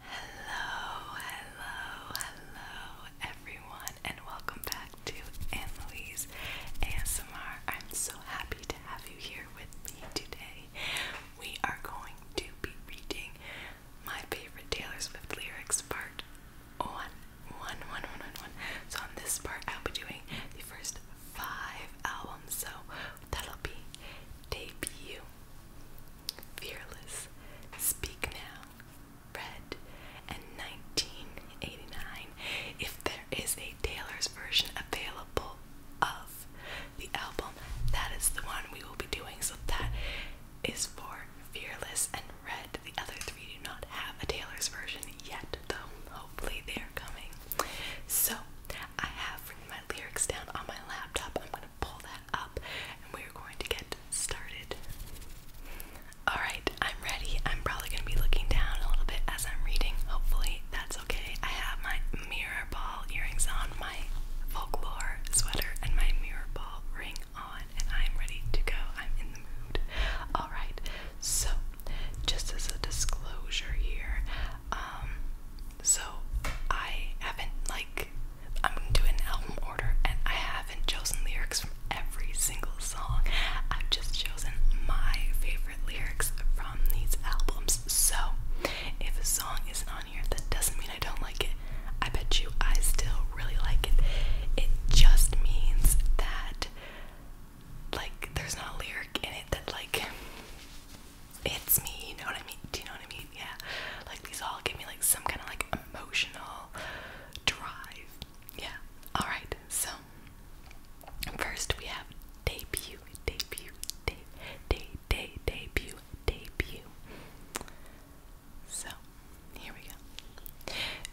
Hello, hello, hello, everyone, and welcome back to Annalise ASMR. I'm so happy to have you here with me today. We are going to be reading my favorite Taylor Swift lyrics part one, one, one, one, one, one. So on this part, I'll be doing the first five albums, so that'll be debut, fearless, speak now, red, and 1989. If there is a Taylor's version available of the album, that is the one we will be doing. So that is for fearless and red. The other three do not have a Taylor's version yet, though. Hopefully, they are coming. So, I have written my lyrics down on my laptop. I'm going to pull that up and we are going to get started. Alright, I'm ready. I'm probably going to be looking down a little bit as I'm reading. Hopefully, that's okay. I have my mirror ball earrings on, my folklore sweater, and my mirror ball ring on, and I'm ready to go. I'm in the mood. Alright, so just as a disclosure here. Um, so I haven't like I'm gonna do an album order, and I haven't chosen lyrics from every single song. I've just chosen my favorite lyrics from these albums. So if a song isn't on here, that doesn't mean I don't like it. I bet you I still really like it. It just means that like there's not a lyric in it that like hits me, you know what I mean? Do you know what I mean? Yeah. Like these all give me like some kind of like emotional drive. Yeah. Alright, so first we have debut, debut, de de debut, debut. So here we go.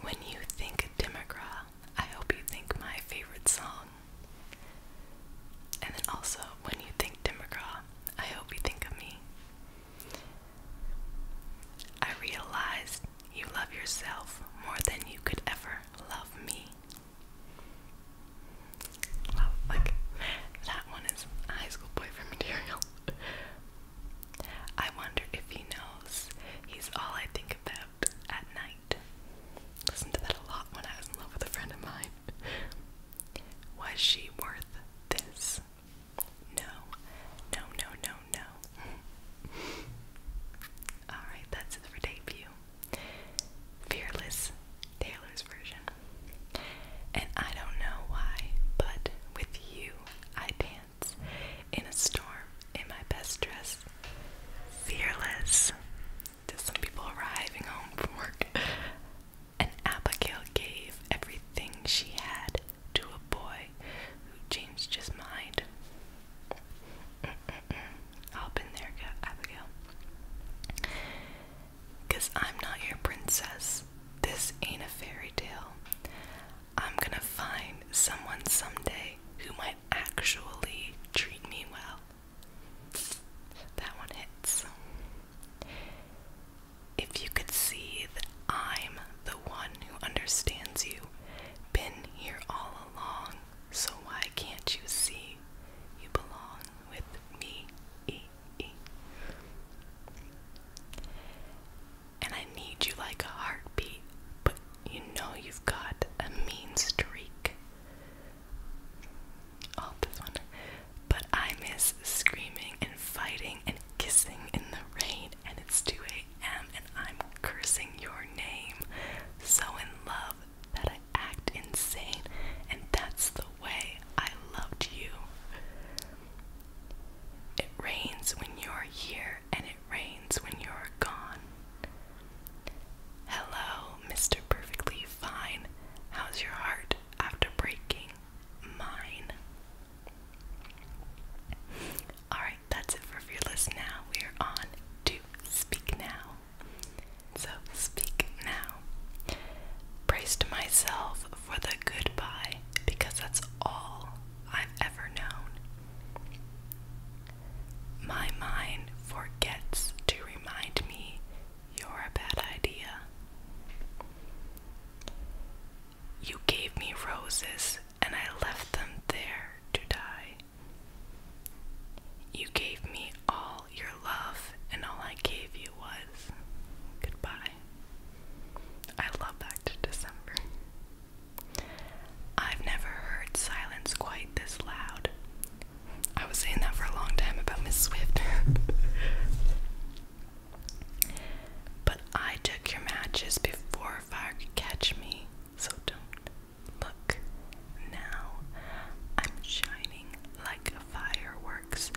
When you think Democrat I hope you think my favorite song. And then also, when you think Tim McGraw, I hope you think of me. I realized you love yourself more than you could ever love me. like that one is high school boyfriend material. I wonder if he knows he's all I think about at night mind. to that a lot when I was in love with a friend of mine. Was she worth this? No. No, no, no, no. Alright, that's it for debut. Fearless Taylor's version. And I don't know why, but with you I dance in a storm in my best dress. Fearless to some people arriving home from work. And Abigail gave everything she had to a boy who changed his mind. I'll in there, Abigail. Cause I'm not your princess. This ain't a fairy tale. I'm gonna find someone someday who might actually treat me well that one hits. If you could see that I'm the one who understands you, been here all along, so why can't you see you belong with me? E -E. And I need you like a heartbeat, but you know you've got a mean streak all this one. But I miss screaming and fighting and kissing in the rain, and it's 2 a.m. and I'm cursing your name. So in love that I act insane, and that's the way I loved you. It rains when you're here, and it rains when you're gone. Hello, Mr. Perfectly Fine. How's your heart after breaking mine? Alright, that's it for Fearless Now. We are on to Speak Now. So, speak now. Braced myself for the goodbye because that's all I've ever known. My mind forgets to remind me you're a bad idea. You gave me roses and I left them there to die. You gave me all your love and all I gave you was goodbye. I love Back to December. I've never heard silence quite this loud. I was saying that for a long time about Miss Swift. but I took your matches before fire could catch me, so don't look now. I'm shining like fireworks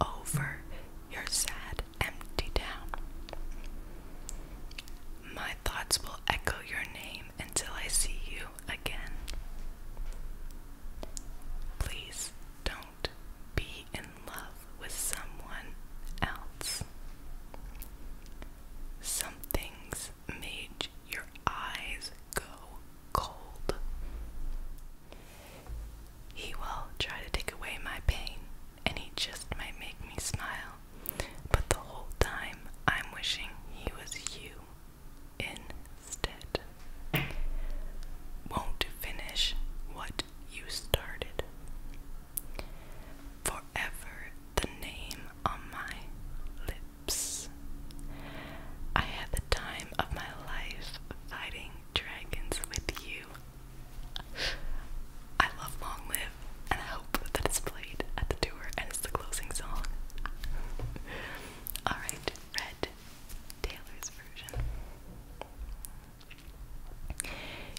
over your sad, empty town. My thoughts will echo your name until I see you again. Please don't be in love with someone else. Some things made your eyes go cold. He will try to take away my pain, and he just might make me smile. But the whole time, I'm wishing he was you instead. Won't finish what you started. Forever the name on my lips. I had the time of my life fighting dragons with you. I love Long Live and I hope that it's played at the tour, and it's the closing song. Alright, Red, Taylor's version.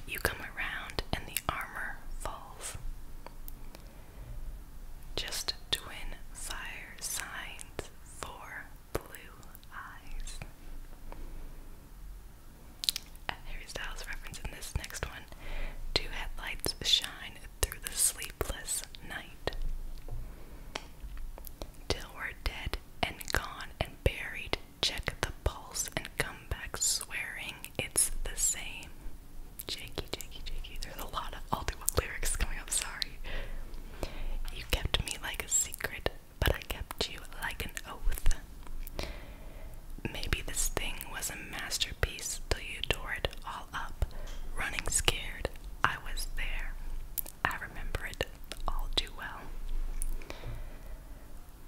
You come around, and the armor falls. Just twin fire signs for blue eyes. A Harry Styles reference in this next one. Two headlights shine through the sleepless night. Till we're dead and gone and buried, check the pulse and come back swearing it's the same. Jakey, Jakey, Jakey. There's a lot of all lyrics coming up, sorry. You kept me like a secret, but I kept you like an oath. Maybe this thing was a masterpiece till you tore it all up. Running scared, I was there. I remember it all too well.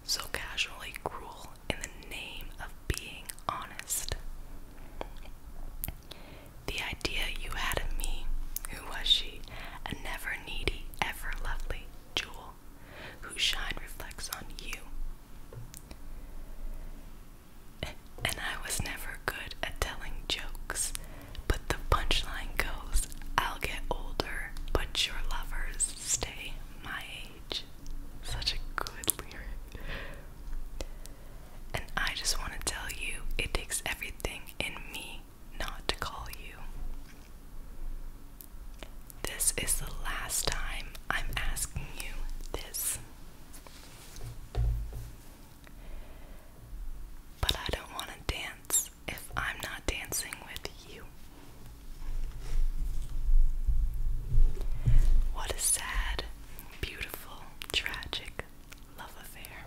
So casually cruel in the name of being honest. The idea you had of me, who was she? A never needy, ever lovely jewel, whose shine reflects on you and I was never good at telling jokes, but the punchline goes, I'll get older, but your lovers stay my age. Such a good lyric. And I just want to tell you, it takes everything in me not to call you. This is the last time I'm asking you this. But I don't want to dance if I'm not dancing with you. What a sad, beautiful, tragic love affair.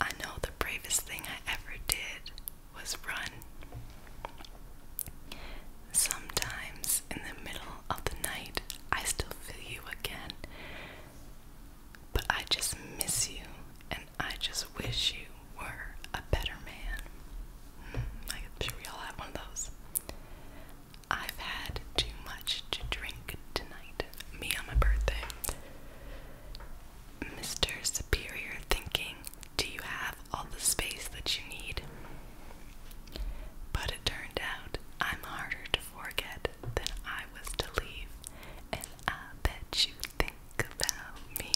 I know the bravest thing I ever did was run. Sometimes in the middle of the night, I still feel you again. But I just miss you, and I just wish you were a better man. I'm hmm, sure we all have one of those. I've had too much to drink tonight. Me on my birthday. Mr. Superior thinking, do you have all the space that you need? But it turned out I'm harder to forget than I was to leave, and I bet you think about me.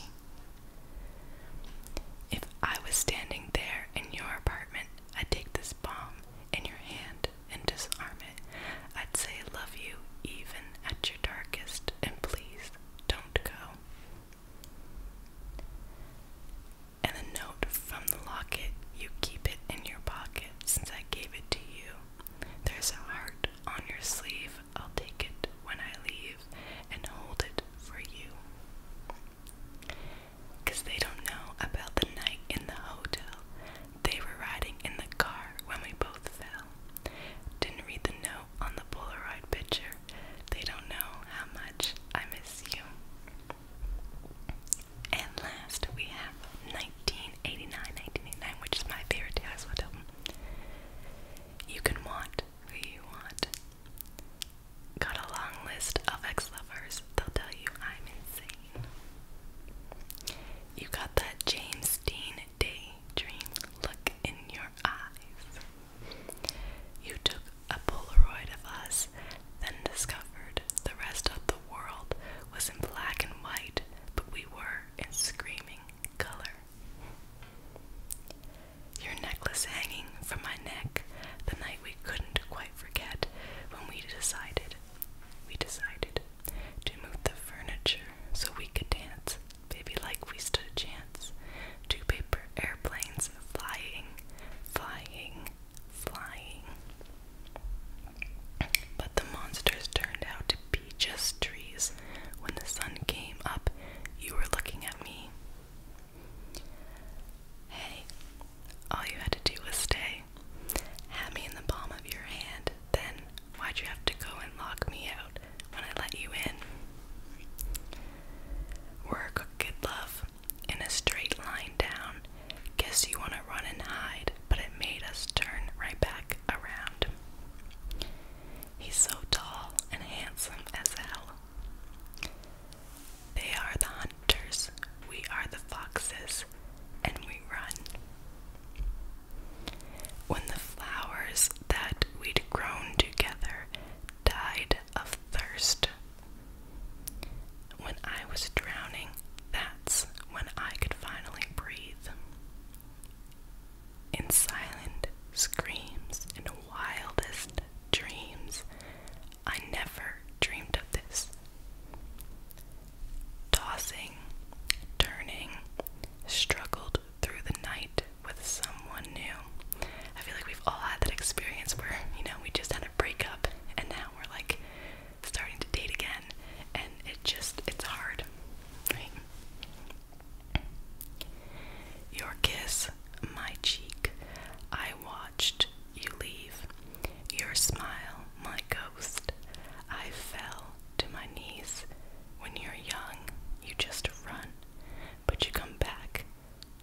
If I was standing there in your apartment, I'd take this bomb in your hand and disarm it. I'd say I love you even at your darkest, and please don't go and the note from the locket. You keep it in your pocket since I gave it to you. There's a heart on your sleeve. I'll take it when I leave and hold it for you. Cause they don't know about the night in the hotel. They were riding in the car when we both fell. Didn't read the note on the Polaroid picture. They don't know how much I miss you. And last we have 1989, 1989, which is my favorite Taylor Swift album. You Can Want Who You Want. Got a long list of ex-lovers. They'll tell you I'm insane. You got that James Dean Daydream look in your eyes. You took a Polaroid of us, then discovered the rest of the world was in black and white, but we were in screaming color. Your necklace hanging from my neck the night we couldn't quite forget when we decided, we decided to move the furniture so we could dance, maybe like we stood a chance. Two paper airplanes flying, flying flying. But the monsters turned out to be just trees. When the sun came up, you were looking at me. Hey, all you had to do was stay. Had me in the palm of your hand. Then, why'd you have to go and lock me out when I let you in? Work, good love in a straight line down. Guess you want to run and hide, but it made us turn right back around. He's so tall and handsome as hell. They are the hunters, we are the foxes, and we run. When the flowers that we'd grown together died of thirst, when I was drowning, that's when I could finally breathe. In silent screams and wildest dreams, I never dreamed of this. Tossing, turning, struggled through the night with someone new. I feel like we've all had that experience where, you know, we just had a breakup and now we're like starting to date again and it just it's hard your kiss my cheek i watched you leave your smile my ghost i fell to my knees when you're young you just run but you come back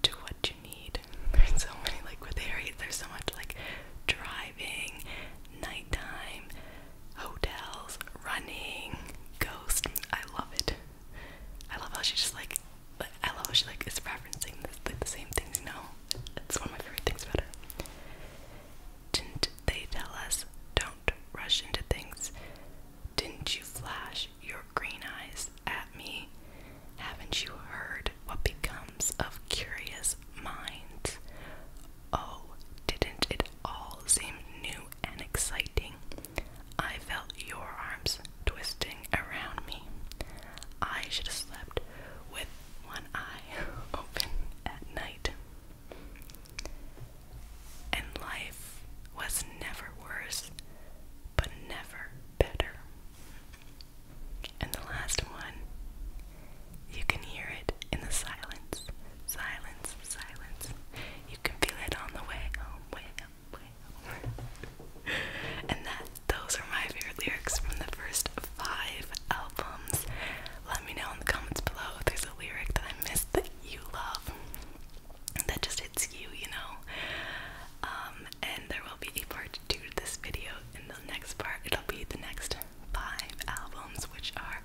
to what you need. There's so many liquid areas. There's so much like driving, nighttime, hotels, running, ghosts. I love it. I love how she's just like. I love how she like is referencing like the same things. You know, it's one of my favorite things about her. Didn't they tell us don't rush into things? Didn't you flash your green eyes at me? Haven't you heard what becomes of curious minds? Oh, didn't it all seem new and exciting? I felt your arms twisting around me. I should have slept with one eye open at night. And life was never worse, but never better. And the last one, you can hear it in the silence. Silence, silence. You can feel it on the way home, way up, way home. and that those are my favorite lyrics from the first five albums. Let me know in the comments below if there's a lyric that I missed that you love. That just hits you, you know. Um, and there will be a part to this video in the next part it'll be the next five albums which are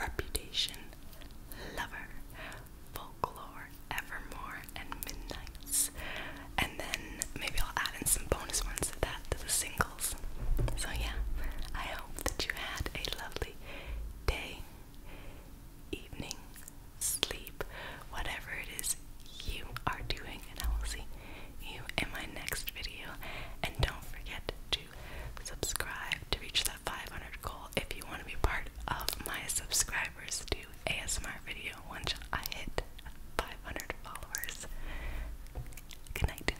Reputation, Lover, Folklore, Evermore, and Midnights. And then maybe I'll add in some bonus ones to that to the singles. So yeah, I hope that you had a lovely day, evening, sleep, whatever it is you are doing, and I will see you in my next video. And don't forget to subscribe to reach that 500 goal if you want to be part of my subscribers to ASMR video once I hit 500 followers. Good night.